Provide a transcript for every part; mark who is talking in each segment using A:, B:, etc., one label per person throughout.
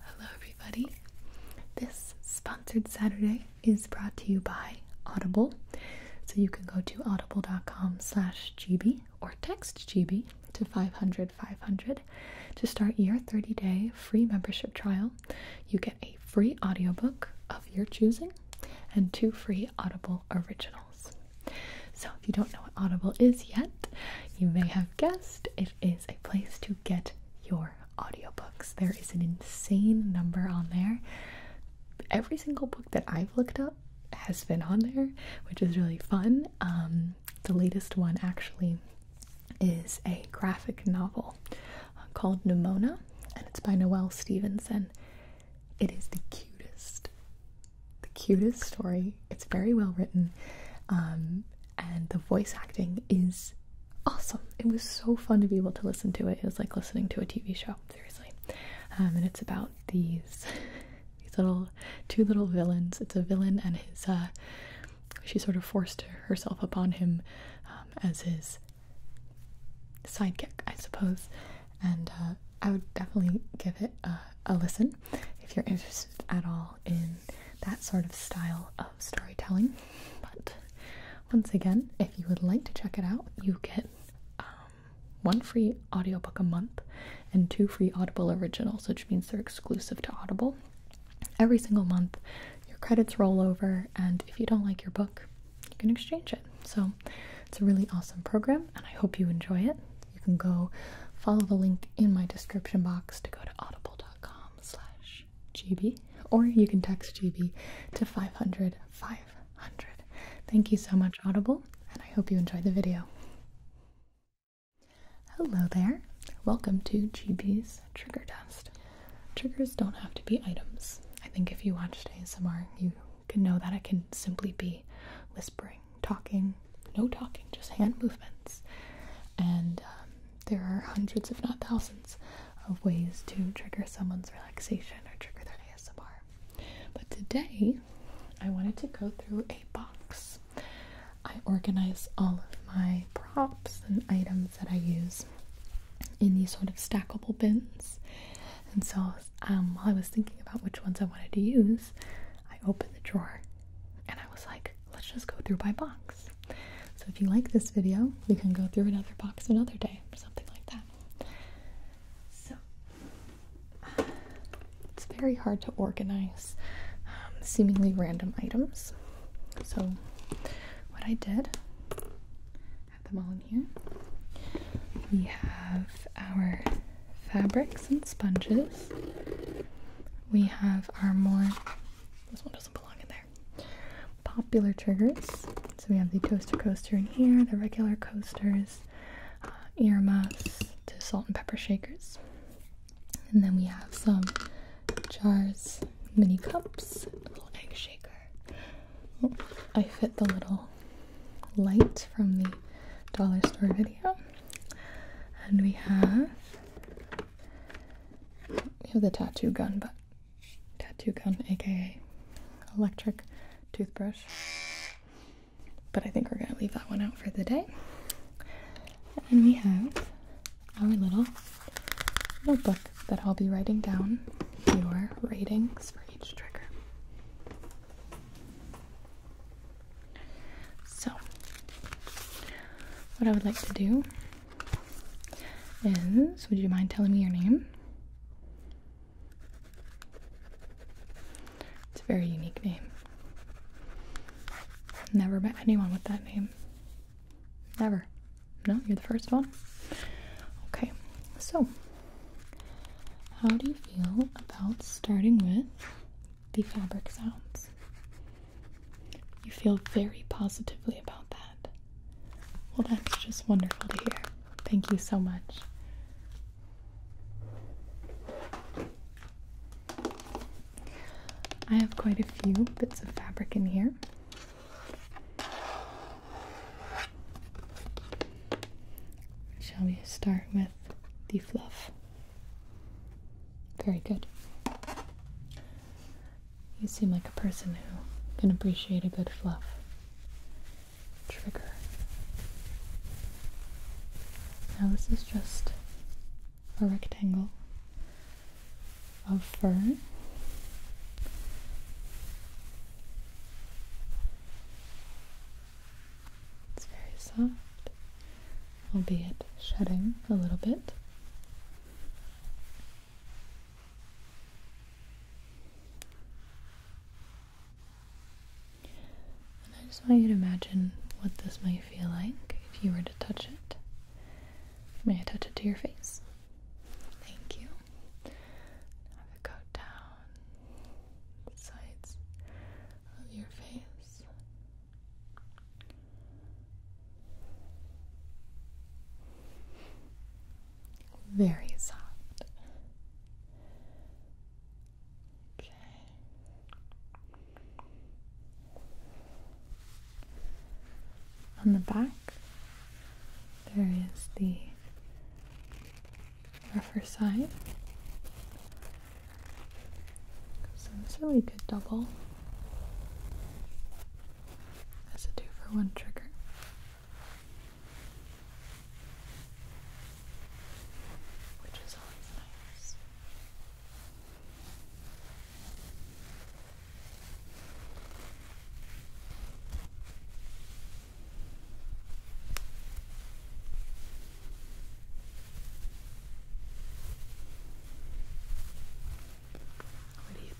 A: Hello, everybody. This sponsored Saturday is brought to you by Audible. So you can go to audible.com/gb or text GB to 500 500 to start your 30-day free membership trial. You get a free audiobook of your choosing and two free Audible originals. So if you don't know what Audible is yet, you may have guessed it is a place to get your audiobooks. There is an insane number on there. Every single book that I've looked up has been on there, which is really fun. Um, the latest one actually is a graphic novel uh, called Nimona, and it's by Noel Stevenson. It is the cutest, the cutest story. It's very well written. Um, and the voice acting is awesome. It was so fun to be able to listen to it. It was like listening to a TV show, seriously. Um, and it's about these these little two little villains. It's a villain and his. Uh, she sort of forced herself upon him um, as his sidekick, I suppose. And uh, I would definitely give it a a listen if you're interested at all in that sort of style of storytelling. But once again, if you would like to check it out, you get um, one free audiobook a month and two free Audible originals, which means they're exclusive to Audible. Every single month, your credits roll over, and if you don't like your book, you can exchange it. So it's a really awesome program, and I hope you enjoy it you can go follow the link in my description box to go to audible.com slash gb or you can text gb to 500 500 thank you so much audible and i hope you enjoyed the video hello there welcome to gb's trigger test triggers don't have to be items i think if you watched asmr you can know that it can simply be whispering talking no talking, just hand movements. And um, there are hundreds, if not thousands, of ways to trigger someone's relaxation or trigger their ASMR. But today, I wanted to go through a box. I organize all of my props and items that I use in these sort of stackable bins. And so um, while I was thinking about which ones I wanted to use, I opened the drawer and I was like, let's just go through by box. So if you like this video, we can go through another box another day or something like that. So uh, it's very hard to organize um, seemingly random items. So what I did, have them all in here. We have our fabrics and sponges we have our more, this one doesn't belong in there, popular triggers. So we have the toaster coaster in here, the regular coasters, ear uh, earmuffs to salt and pepper shakers. And then we have some jars, mini cups, little egg shaker. Oh, I fit the little light from the dollar store video. And we have we have the tattoo gun, but tattoo gun, aka electric toothbrush. But I think we're gonna leave that one out for the day. And then we have our little notebook that I'll be writing down your ratings for each trigger. So, what I would like to do is would you mind telling me your name? It's a very unique name. Never met anyone with that name. Never. No, you're the first one. Okay, so how do you feel about starting with the fabric sounds. You feel very positively about that. Well, that's just wonderful to hear. Thank you so much. I have quite a few bits of fabric in here. Shall we start with the fluff? Very good. You seem like a person who can appreciate a good fluff. Trigger. Now, this is just a rectangle of fur. It's very soft albeit shedding a little bit. And I just want you to imagine what this might feel like if you were to touch it. May I touch it to your face? Thank you. Have it go down the sides of your face very soft. Okay. On the back, there is the rougher side so this really good double That's a two for one trigger. Which is always nice. What do you think?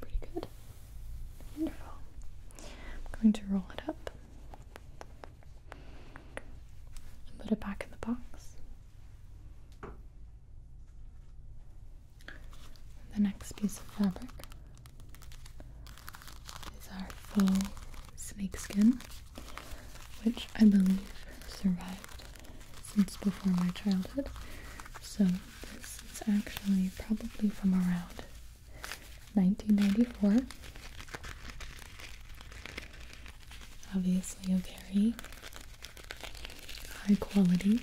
A: Pretty good. Wonderful. I'm going to roll it up and put it back in the box. The next piece of fabric is our faux snakeskin, which I believe survived since before my childhood. So this is actually probably from around 1994. Obviously a very high quality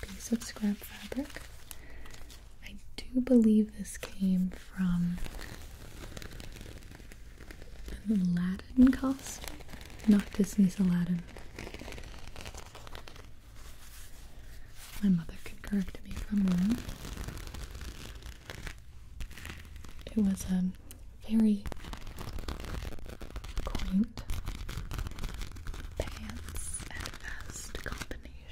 A: piece of scrap fabric. I do believe this came from an Aladdin costume, not Disney's Aladdin. My mother can correct me if I'm wrong. It was a very quaint pants and vest company. I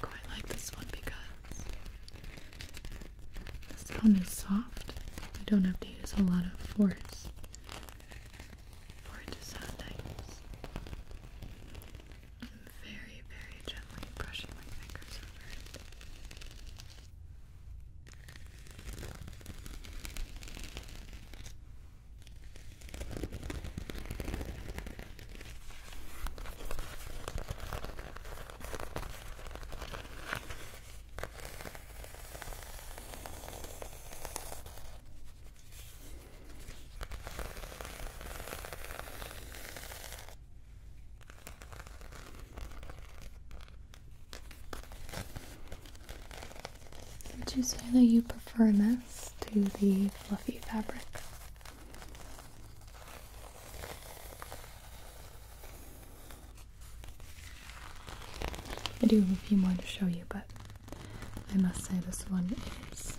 A: quite like this one because the sound is soft. I don't have to use a lot of force for to sound very, very gently brushing my fingers over it. Would you say that you prefer this to the fluffy fabric? I do have a few more to show you, but I must say this one is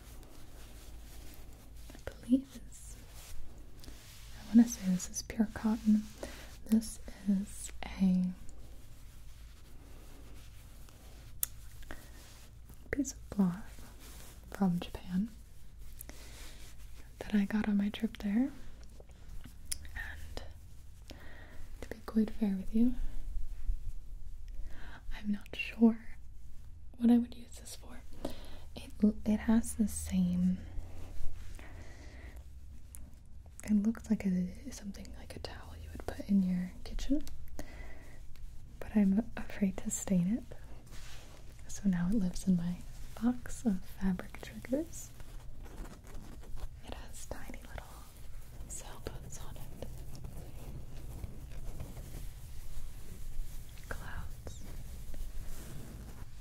A: I I want to say this is pure cotton. This is a piece of cloth from Japan that I got on my trip there. And to be quite fair with you, I'm not sure what I would use this for. It it has the same. It looks like it is something like a towel you would put in your kitchen, but I'm afraid to stain it. So now it lives in my box of fabric triggers. It has tiny little sailboats on it. Clouds sounds.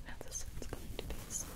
A: Now this one's going to be a softer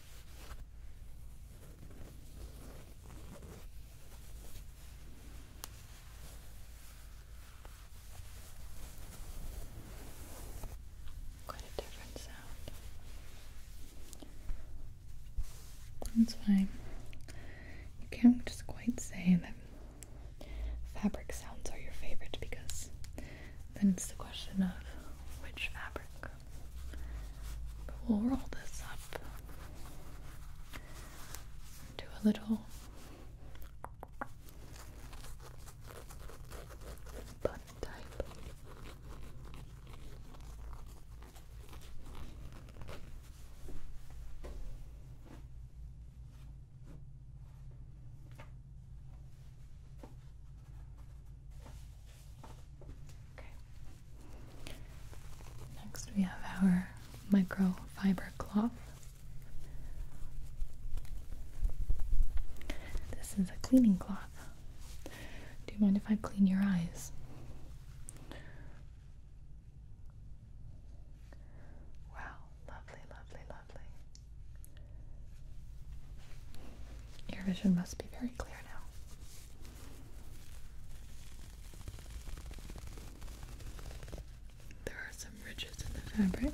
A: Quite a different sound. That's why you can't just quite say that fabric sounds are your favorite because then it's the question of which fabric we'll roll this up. Do a little bun type. Next, we have our microfiber cloth. This is a cleaning cloth. Do you mind if I clean your eyes? Wow, lovely, lovely, lovely. Your vision must be very clear now. There are some ridges in the fabric.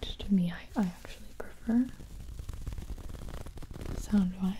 A: Which to me, I, I actually prefer sound wise.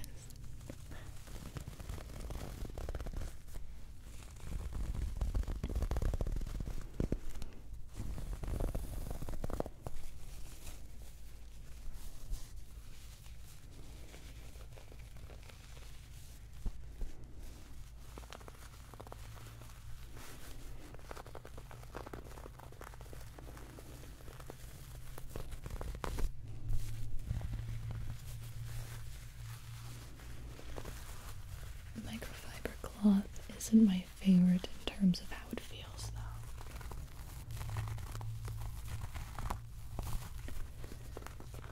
A: Microfiber cloth is in my favorite in terms of how it feels, though.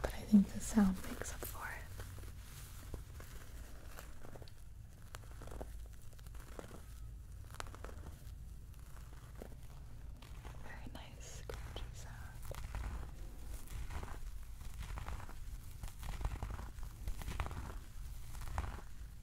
A: But I think the sound makes up for it. Very nice scratchy sound.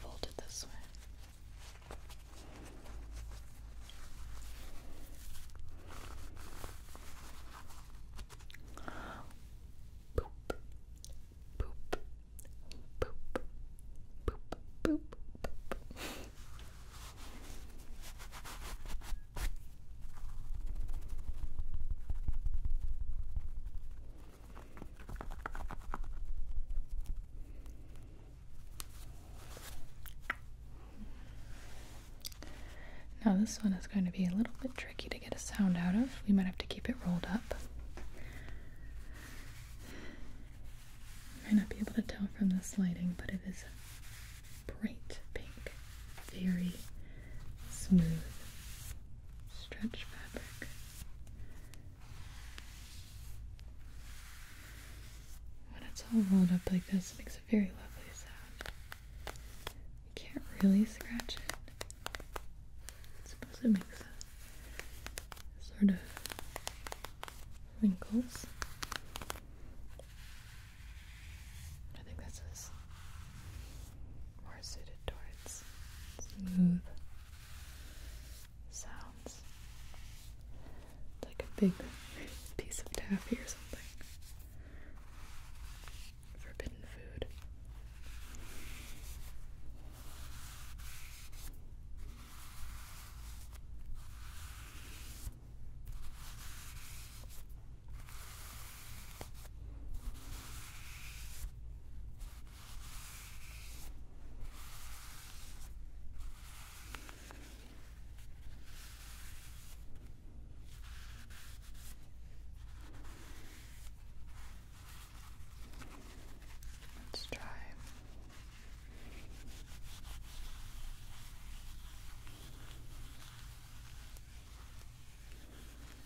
A: Fold it this way. Boop, boop, boop, boop, boop, boop. Now this one is going to be a little bit tricky to get a sound out of. We might have to keep it rolled up. might not be able to tell from this lighting, but it is bright pink very smooth stretch fabric. When it's all rolled up like this, it makes a very lovely sound. You can't really scratch it. I suppose it makes sort of wrinkles. I think this is more suited towards smooth sounds. like a big piece of taffy or something. Forbidden food. Let's try. Good.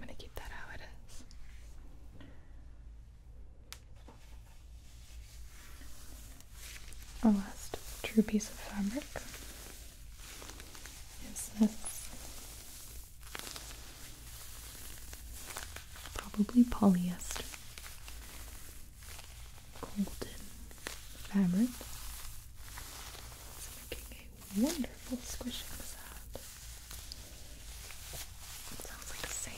A: I'm going to keep that how it is. Our last true piece of fabric is this probably polyester golden fabric. It's making a wonderful squishing sound. sounds like sand.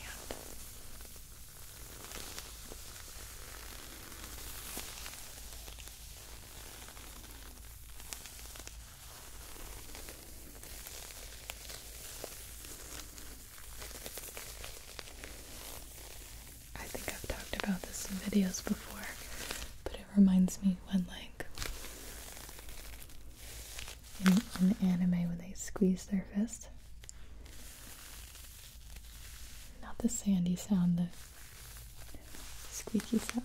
A: I think I've talked about this in videos before, but it reminds me when like in, in the anime when they squeeze their fist. Not the sandy sound, the squeaky sound.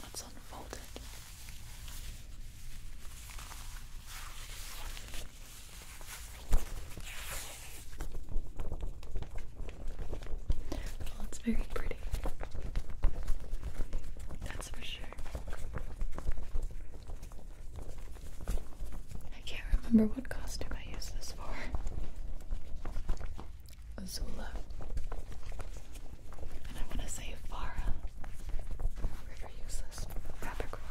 A: What's unfolded? Well, it's very pretty. That's for sure. I can't remember what costume I used this for. Azula. And I want to say Farah. River useless Capricorn.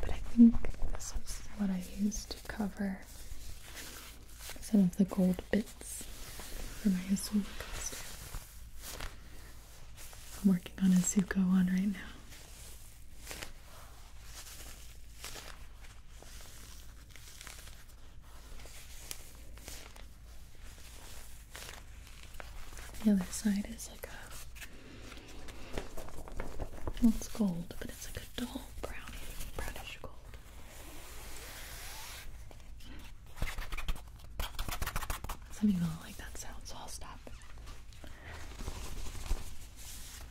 A: But I think this is what I used to cover some of the gold bits for my Asuka costume. I'm working on a Zuko one right now. The other side is like a well, it's gold, but it's like a dull brownie, brownish gold. Some people don't like that sound, so I'll stop.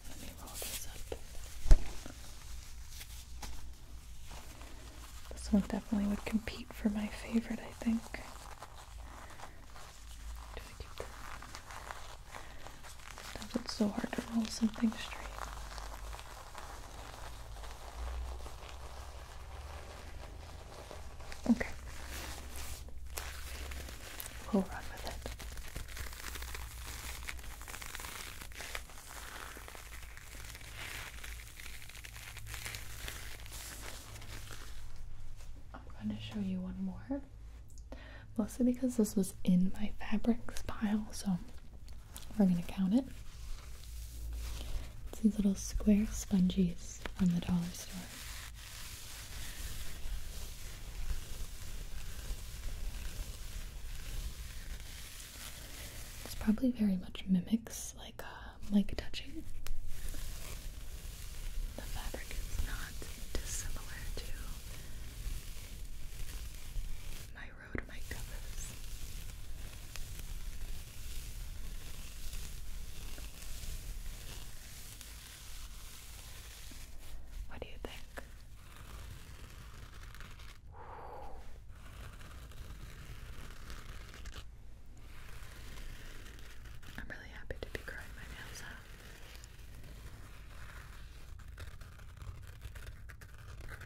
A: Let me roll this up. This one definitely would compete for my favorite, I think. Do I keep that? Sometimes it's so hard to roll something straight. Okay. We'll run with it. I'm going to show you one more. Mostly because this was in my fabrics pile, so we're going to count it. It's these little square sponges from the dollar store. This probably very much mimics like uh, like touching. The fabric is not dissimilar to my rode my covers. What do you think? I'm really happy to be growing my nails out.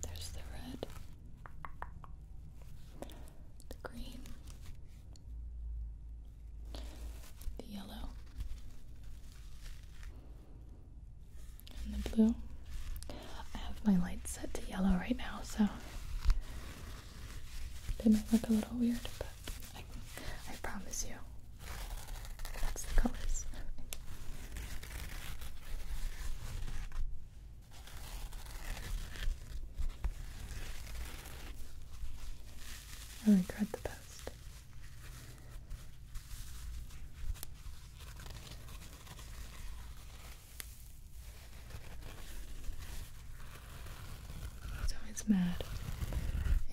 A: There's the red, the green, the yellow, and the blue. I have my light set to yellow right now, so they might look a little weird, but I, promise you, that's the colors. I regret the past. It's always mad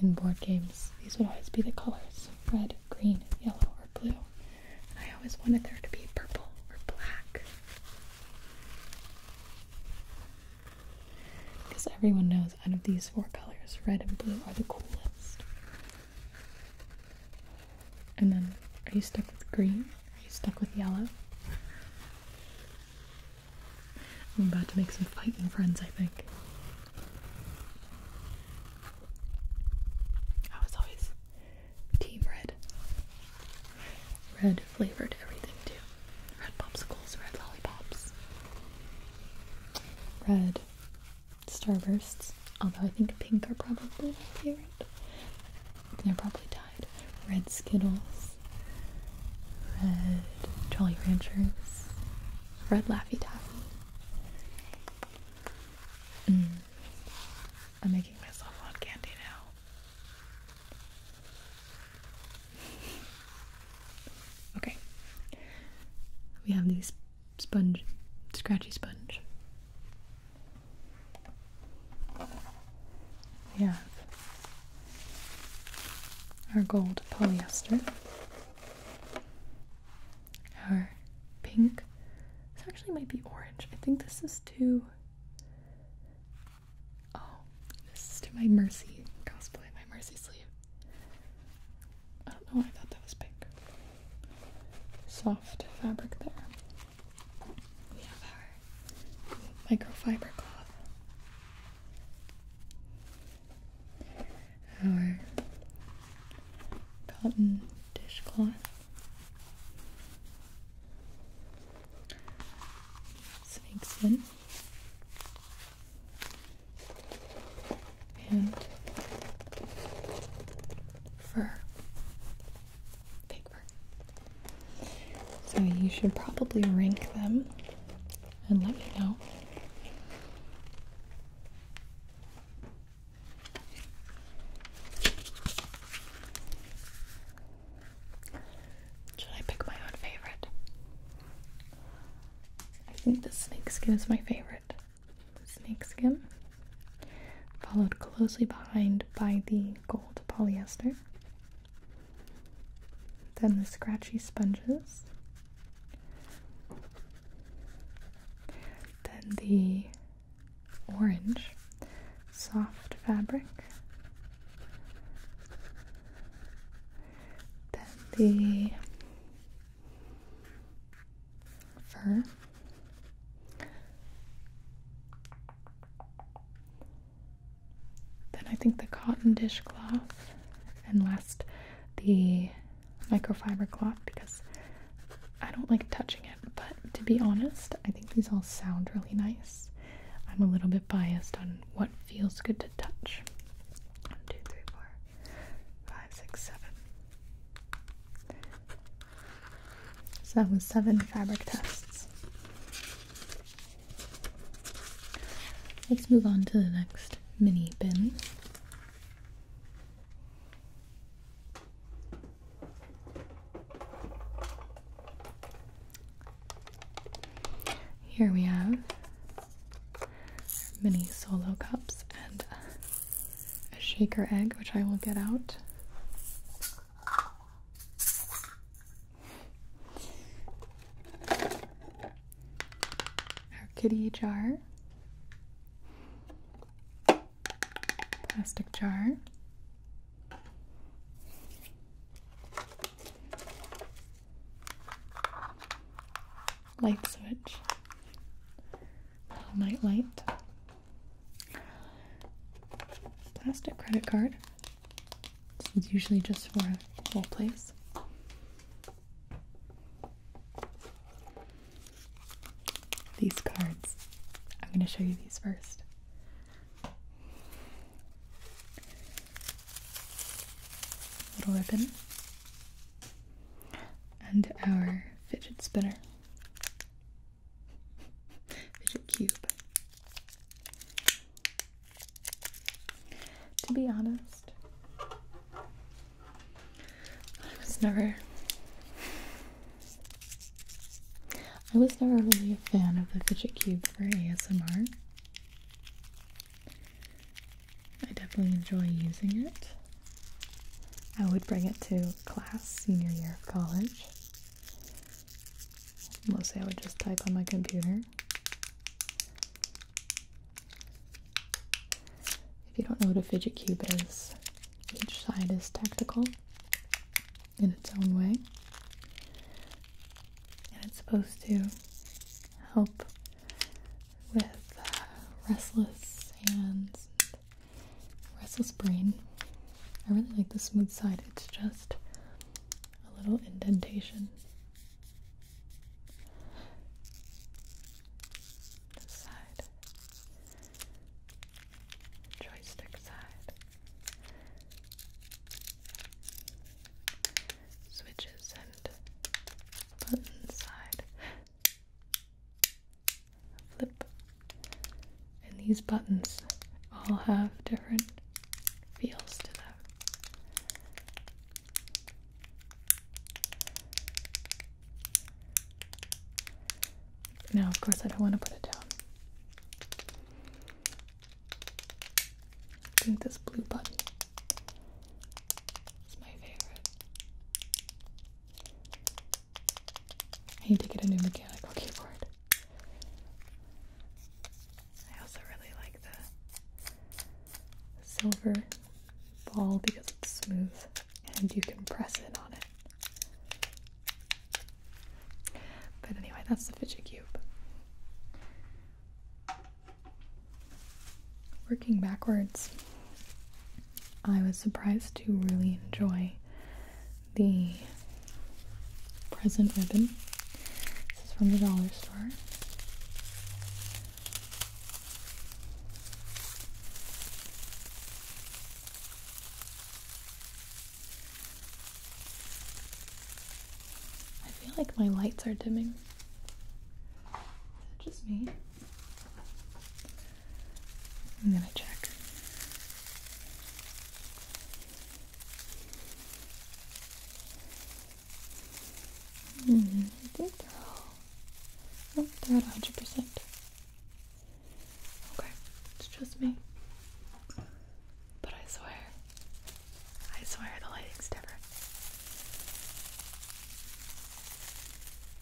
A: in board games. These would always be the colors red, green, yellow, or blue. I always wanted there to be purple or black. Because everyone knows out of these four colors, red and blue are the coolest. And then, are you stuck with green? Are you stuck with yellow? I'm about to make some fighting friends, I think. I was always team red. Red flavored everything, too. Red popsicles, red lollipops, red Starbursts, although I think pink are probably my favorite. They're probably tied. Red Skittles, red Jolly Ranchers, red Laffy Taffy. Mm. I'm making myself want candy now. Okay. We have these sponge, scratchy sponge. We have our gold polyester, our pink. This actually might be orange. I think this is to. Oh, this is to my Mercy cosplay, my Mercy sleeve. I don't know why I thought that was pink. Soft fabric there. We have our microfiber cloth. Our cotton dishcloth. Snakeskin and fur. Fake fur. So you should probably rank them and let me know. Should I pick my own favorite? I think the snake skin is my favorite favorite, snakeskin, followed closely behind by the gold polyester. Then the scratchy sponges. Then the orange soft fabric. Then the then I think the cotton dishcloth, and last the microfiber cloth because I don't like touching it. But to be honest, I think these all sound really nice. I'm a little bit biased on what feels good to touch. One, two, three, four, five, six, seven. So that was seven fabric tests. Let's move on to the next mini bin. Here we have mini solo cups and a shaker egg, which I will get out. Our kitty jar, plastic jar light switch. Little night light. Plastic credit card. This is usually just for role place. These cards. I'm going to show you these first. Little ribbon and our fidget spinner, fidget cube. To be honest, I was never. I was never really a fan of the fidget cube for ASMR. I definitely enjoy using it, I would bring it to class senior year of college. Mostly I would just type on my computer. If you don't know what a fidget cube is, each side is tactical in its own way. And it's supposed to help with uh, restless hands Restless Brain. I really like the smooth side, it's just a little indentation. This side, joystick side, switches and button side flip. And these buttons all have different feels to them. Now, of course, I don't want to put it down. I think this blue button is my favorite. I need to get a new mechanical keyboard. I also really like the silver ball because it's smooth and you can press it on it. But anyway, that's the fidget cube. Working backwards, I was surprised to really enjoy the present ribbon. This is from the dollar store. I feel like my lights are dimming. Is it just me? I'm gonna check. Hmm, I think they're all. Nope, they at 100%. Okay, it's just me. But I swear, I swear the lighting's different.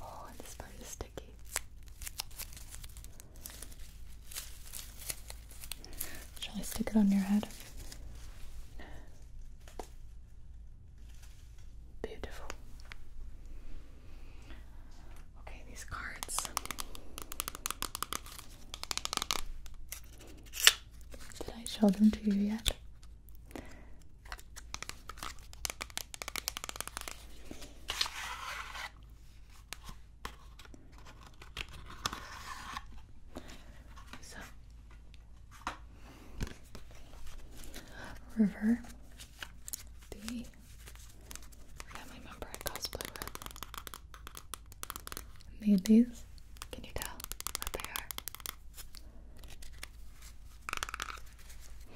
A: Oh, this part is sticky. Shall I stick it on your head? Beautiful. Okay, these cards. Did I show them to you yet? So, river, the family member I cosplay with. And these, can you tell what they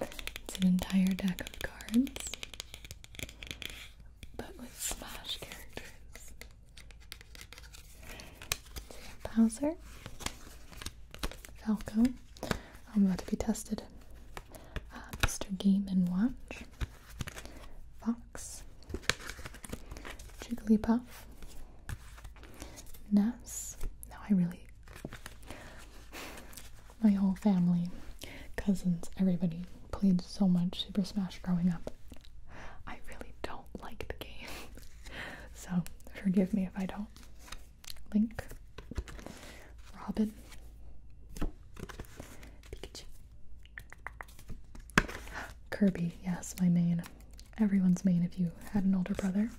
A: are? It's an entire deck of cards, but with Smash characters. So you Bowser, Falco, I'm about to be tested, uh, Mr. Game and Watch. Fox, Jigglypuff, Ness. Now I really, my whole family, cousins, everybody played so much Super Smash growing up. I really don't like the game, so forgive me if I don't. Link, Robin, Pikachu. Kirby, yes, my main. Everyone's main if you had an older brother.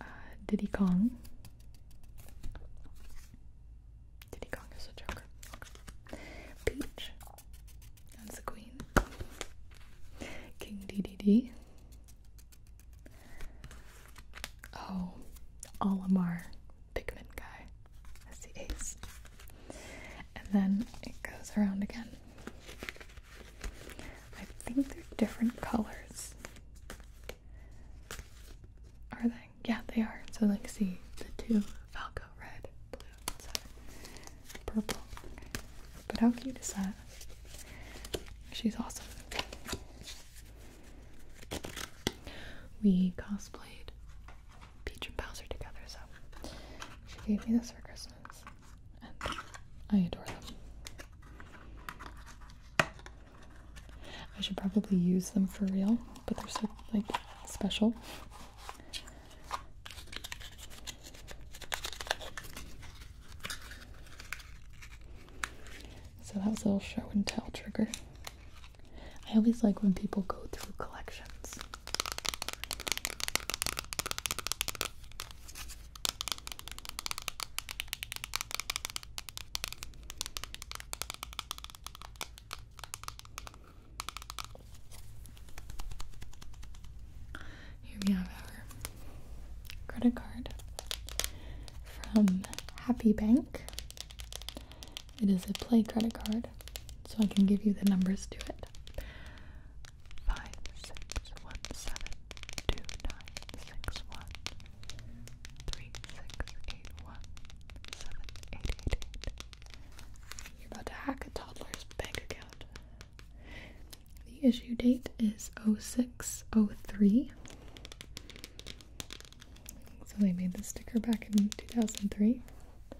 A: Uh, Diddy Kong. Diddy Kong is a joker. Peach. That's the queen. King DDD. Oh, Alamar pigment guy that's the ace. And then it goes around again. I think they're different colors. Are they? Yeah, they are. So, let's see the two Falco red, blue, purple. But how cute is that? She's awesome. We cosplayed Peach and Bowser together, so she gave me this for Christmas, and I adore them. I should probably use them for real, but they're so like special. So that was a little show and tell trigger. I always like when people go through collections. Here we have our credit card from Happy Bank. It is a play credit card, so I can give you the numbers to it. Five six one seven two nine six one three six eight one seven eight eight eight. You're about to hack a toddler's bank account. The issue date is 0603. So they made this sticker back in 2003. I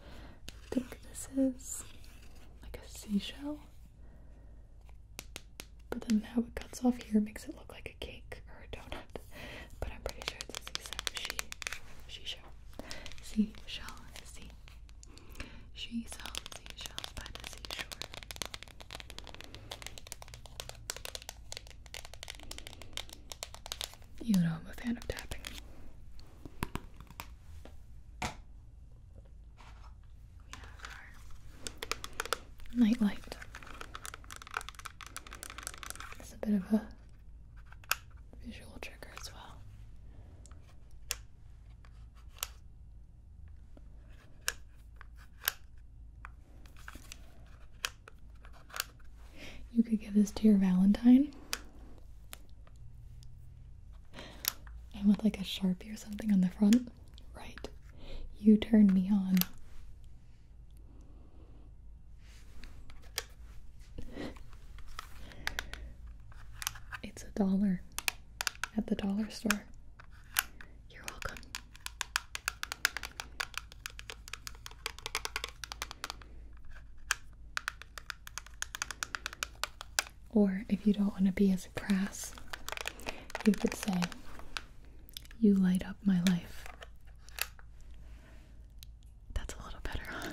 A: think this is like a seashell. But then how it cuts off here makes it look like a cake or a donut. But I'm pretty sure it's a seashell. She, she shell. Seashell. Sea. She sells seashells by the seashore. You know I'm a fan of tapping. We night light. It's a bit of a visual trigger as well. You could give this to your Valentine. And with like a Sharpie or something on the front. Right. You turn me on. It's a dollar at the dollar store. You're welcome. Or if you don't want to be as crass, you could say, You light up my life. That's a little better, huh?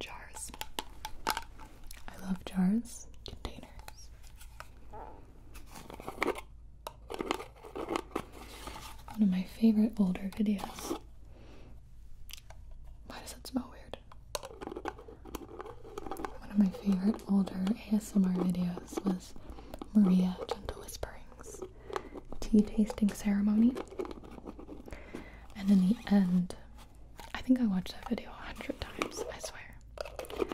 A: Jars. I love jars, containers. One of my favorite older videos. Why does that smell weird? One of my favorite older ASMR videos was Maria Gentle Whisperings Tea Tasting Ceremony and in the end, I think I watched that video a hundred times, I swear.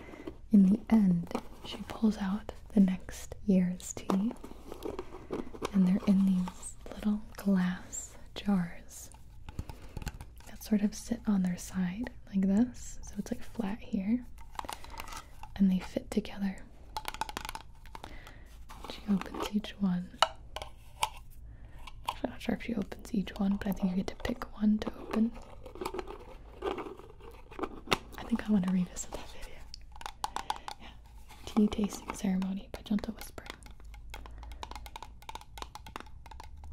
A: In the end, she pulls out the next year's tea, and they're in these little glass jars that sort of sit on their side like this, so it's like flat here, and they fit together. She opens each one I'm not sure if she opens each one, but I think you get to pick one to open. I think I want to revisit that video. Tea tasting ceremony by Junta Whisper.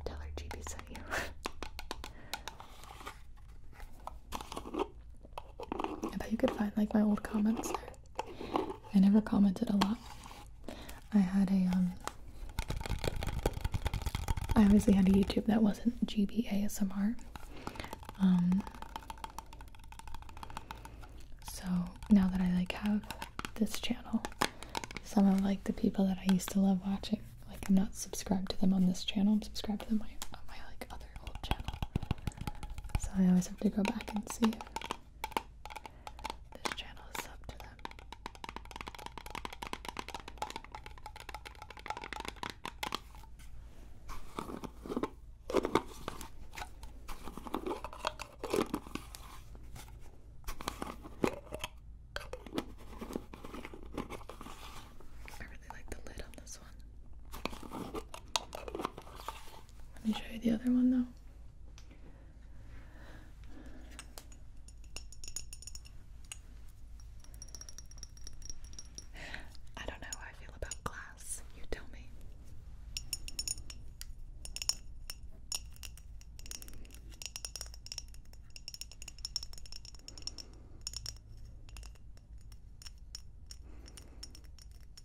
A: Tell her GB sent you. I bet you could find like my old comments there. I never commented a lot. I had a, um, I obviously had a YouTube that wasn't GBASMR. Um so now that I like have this channel, some of like the people that I used to love watching, like I'm not subscribed to them on this channel, I'm subscribed to them on my, on my like other old channel. So I always have to go back and see this channel is up to them. I really like the lid on this one. Let me show you the other one though. I don't know how I feel about glass. You tell me.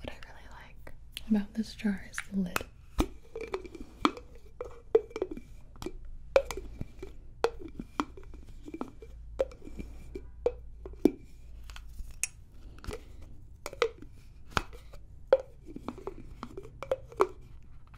A: What I really like about this jar is the lid.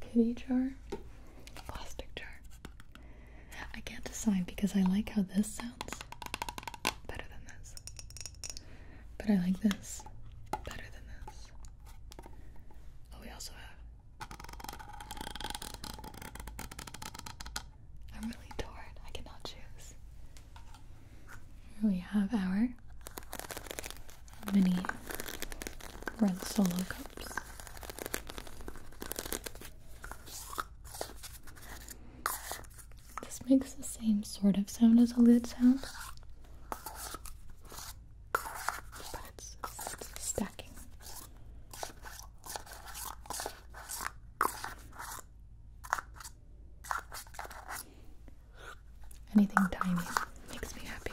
A: Kitty jar, plastic jar. I can't decide because I like how this sounds better than this, but I like this better than this. Oh, we also have. I'm really torn. I cannot choose. Here we have our mini red solo cups. This makes the same sort of sound as a lid sound, but it's stacking. Anything tiny makes me happy.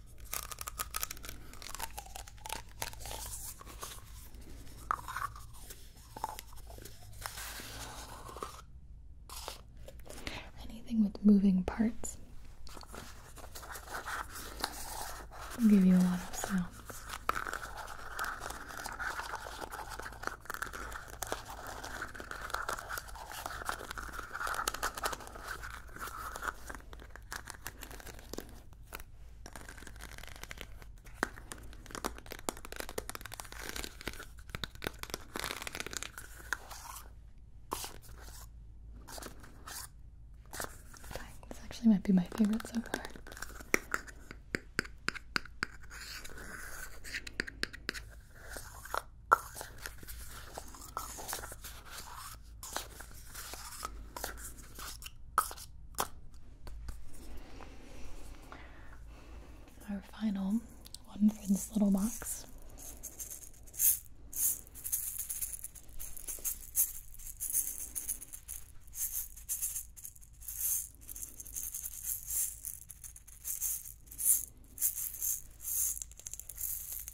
A: Anything with moving parts will give you a lot of sounds. This actually might be my favorite so far. Our final one for this little box.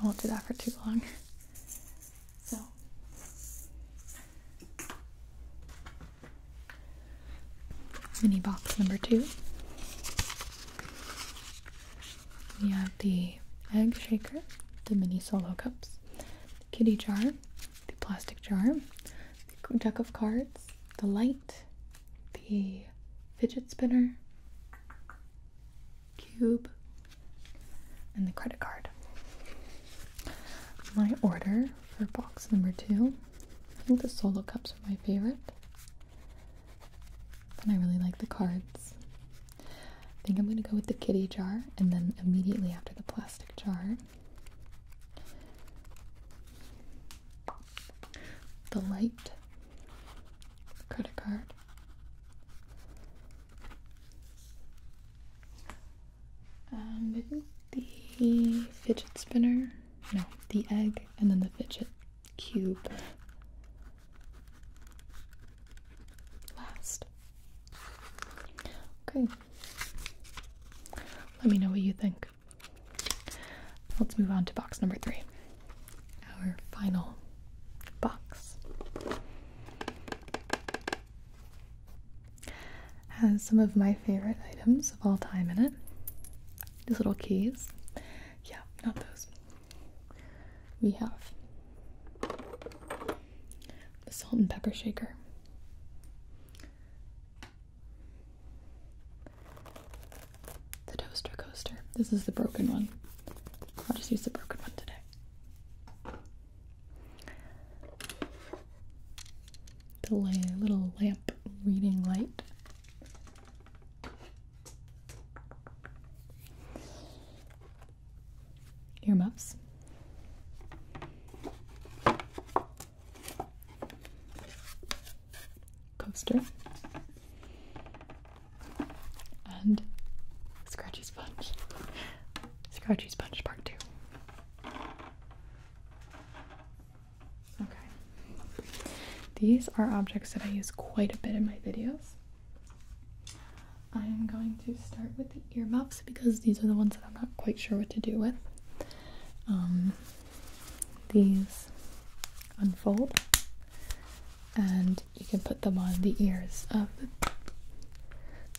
A: I won't do that for too long. So mini box number two. We have the egg shaker, the mini solo cups kitty jar, the plastic jar, the deck of cards, the light, the fidget spinner, cube, and the credit card. My order for box number two. I think the solo cups are my favorite. And I really like the cards. I think I'm going to go with the kitty jar and then immediately after the plastic jar, the light credit card. Um, the fidget spinner, no, the egg, and then the fidget cube. Last. Okay, let me know what you think. Let's move on to box number three. Our final box has some of my favorite items of all time in it. These little keys. Yeah, not those. We have the salt and pepper shaker. The toaster coaster. This is the broken one. I'll just use the broken one today. The little lamp reading light. ear muffs coaster and scratchy sponge scratchy sponge part two okay these are objects that i use quite a bit in my videos i am going to start with ear muffs because these are the ones that I'm not quite sure what to do with. Um, these unfold and you can put them on the ears of the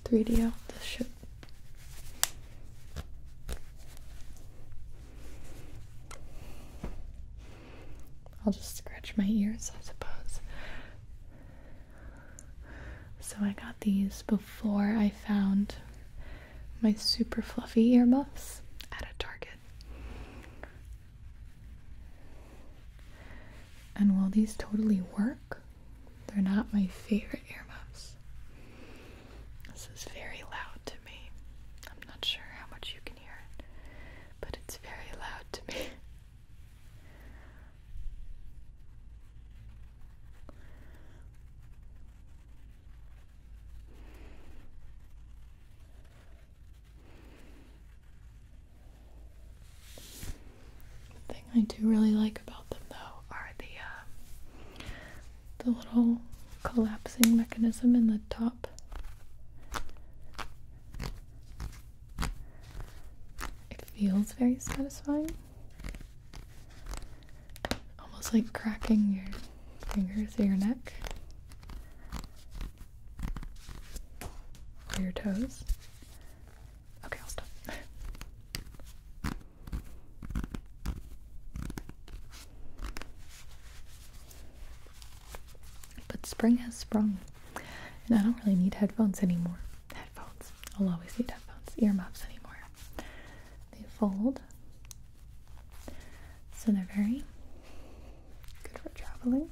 A: 3DO. This should I'll just scratch my ears, I suppose. So I got these before I found my super fluffy earmuffs at a Target. And while these totally work, they're not my favorite earmuffs. This is very loud to me. I'm not sure how much you can hear it, but it's very loud to me. The thing I do really like about them, though, are the um, the little collapsing mechanism in the top. It feels very satisfying almost like cracking your fingers through your neck or your toes. Okay, I'll stop. but spring has sprung, and I don't really need headphones anymore. Headphones. I'll always need headphones, earmuffs anymore. They fold. So they're very good for traveling.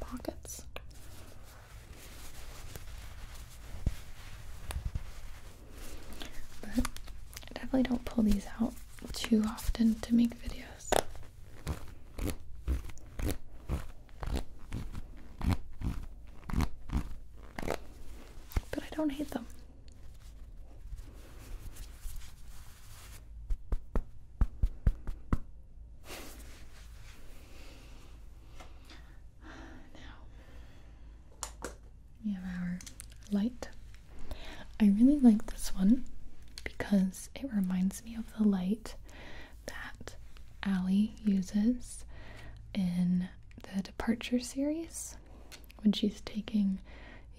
A: Pockets. But I definitely don't pull these out too often to make videos. But I don't hate them. Now we have our light. I really like this one because it reminds me of the light that Allie uses in the Departure series when she's taking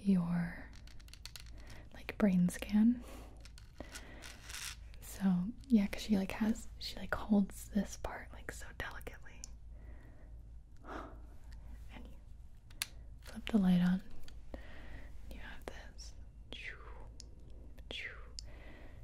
A: your like brain scan. So yeah, cause she like has she like holds this part like so delicately. And you flip the light on. You have this.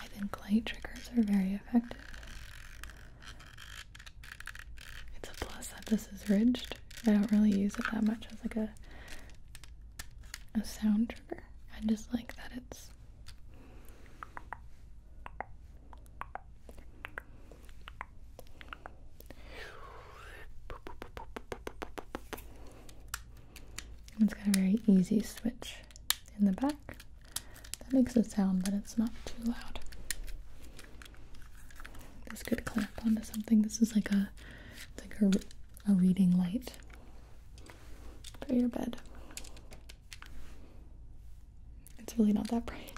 A: I think light triggers are very effective. It's a plus that this is ridged. I don't really use it that much as like a a sound trigger. I just like that it's it's got a very easy switch in the back that makes a sound, but it's not too loud. This could clamp onto something. This is like a like a, a reading light for your bed. It's really not that bright.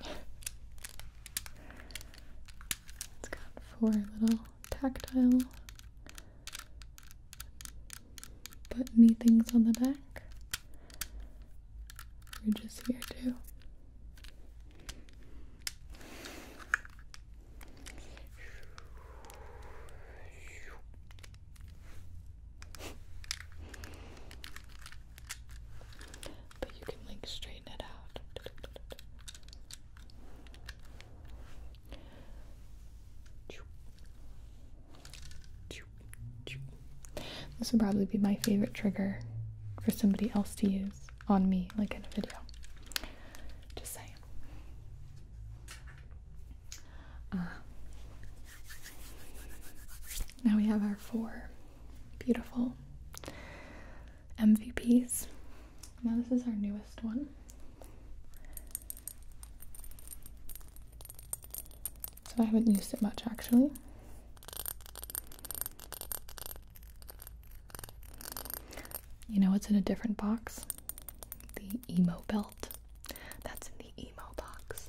A: it's got four little tactile buttony things on the back. Ridges here too. But you can like straighten it out. This would probably be my favorite trigger for somebody else to use on me, like in a video. Just saying. Uh, now we have our four Beautiful. MVPs. Now, this is our newest one. So, I haven't used it much actually. You know what's in a different box? The emo belt. That's in the emo box.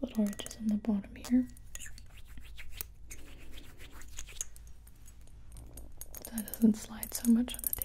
A: Little ridges on the bottom here. That doesn't slide so much on the table.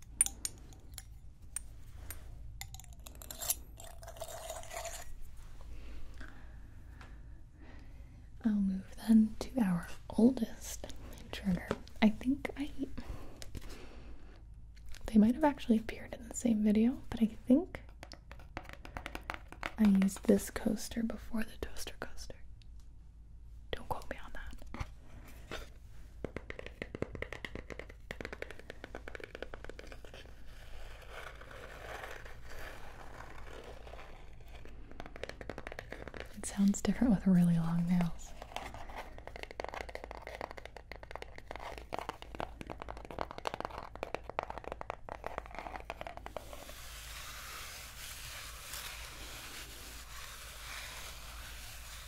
A: I'll move then to our oldest intruder. I think I. They might have actually appeared in the same video, but I think I used this coaster before the toaster coaster. Don't quote me on that. It sounds different with really long nails.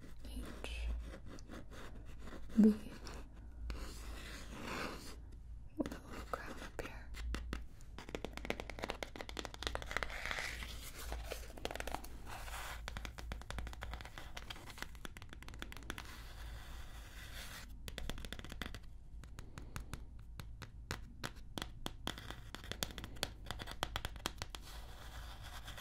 A: H B what little crap up here.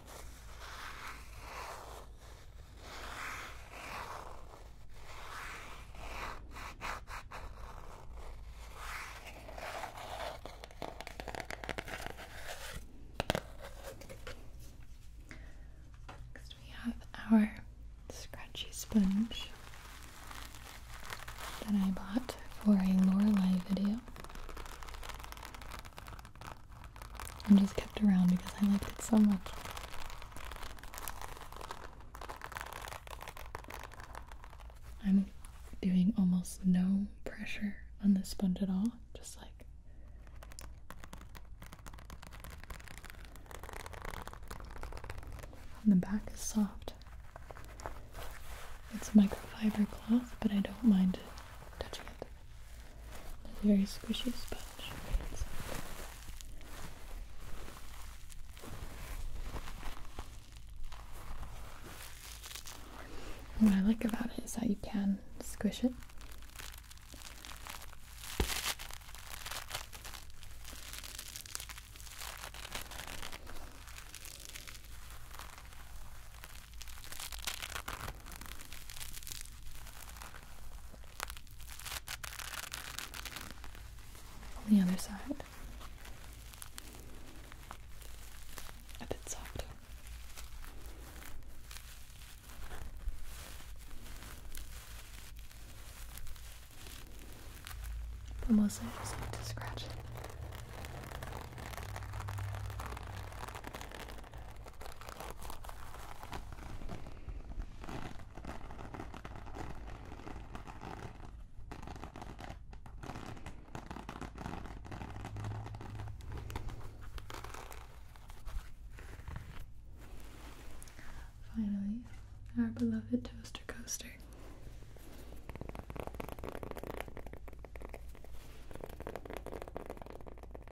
A: Next, we have our scratchy sponge that I bought for a Lorelai video and just kept around because I liked it so much. I'm doing almost no pressure on the sponge at all, just like the back is soft. It's a microfiber cloth, but I don't mind touching it. It's a very squishy sponge. What I like about it is that you can squish it. On the other side. A bit softer. But mostly just like to scratch Finally, our beloved toaster coaster.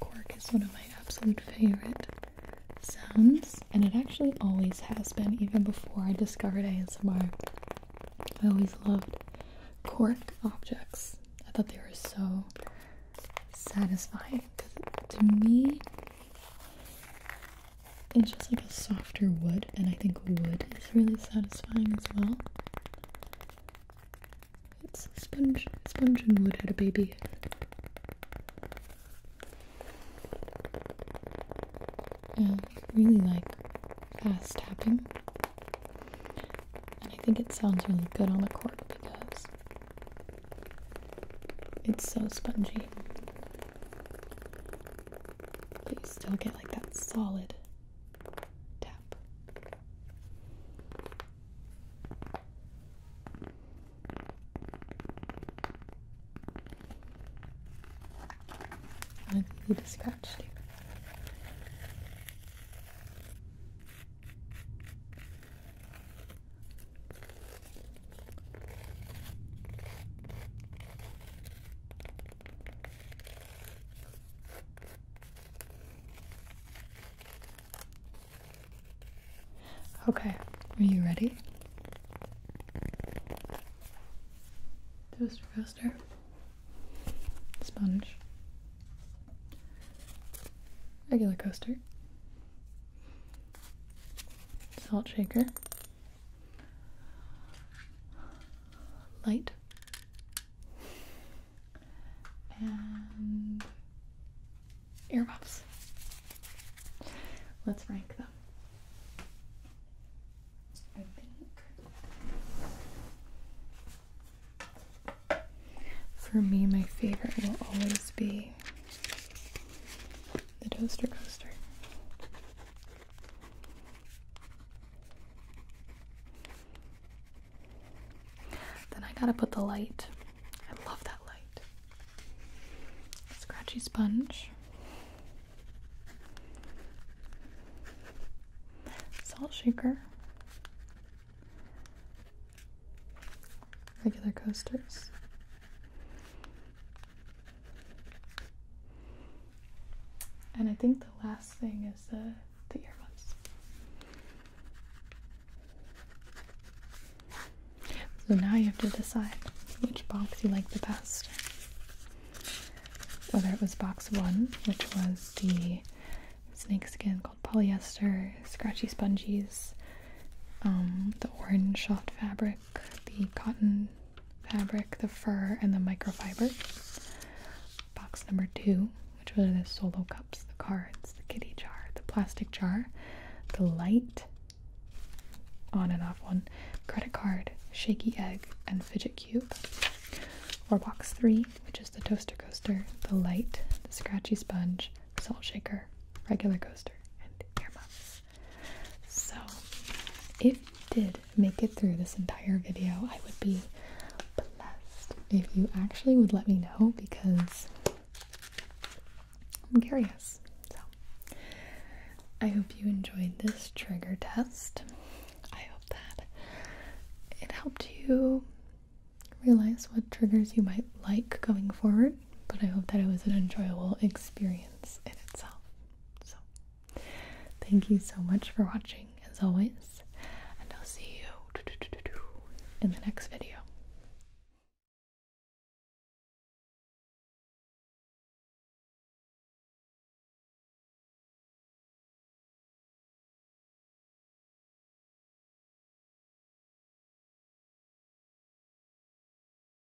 A: Cork is one of my absolute favorite sounds, and it actually always has been, even before I discovered ASMR. I always loved cork objects. I thought they were so satisfying to me, it's just like a softer wood, and I think wood is really satisfying as well. It's sponge, sponge and wood had a baby. I really like fast tapping, and I think it sounds really good on the chord because it's so spongy. But you still get like that solid tap. I need to scratch too. Okay, are you ready? Toast coaster, sponge, regular coaster, salt shaker, light and earmuffs. Let's rank them. for me, my favorite will always be the toaster coaster. Then I gotta put the light. I love that light. Scratchy sponge. Salt shaker. Regular coasters. And I think the last thing is the the earbuds. So now you have to decide which box you like the best. Whether it was box one, which was the snake skin called polyester, scratchy sponges, um, the orange soft fabric, the cotton fabric, the fur, and the microfiber. Box number two, which were the solo cups, the cards, the kitty jar, the plastic jar, the light, on and off one, credit card, shaky egg, and fidget cube. Or box three, which is the toaster coaster, the light, the scratchy sponge, salt shaker, regular coaster, and earmuffs. So, if you did make it through this entire video, I would be blessed if you actually would let me know because I'm curious. So, I hope you enjoyed this trigger test. I hope that it helped you realize what triggers you might like going forward, but I hope that it was an enjoyable experience in itself. So, thank you so much for watching, as always, and I'll see you in the next video.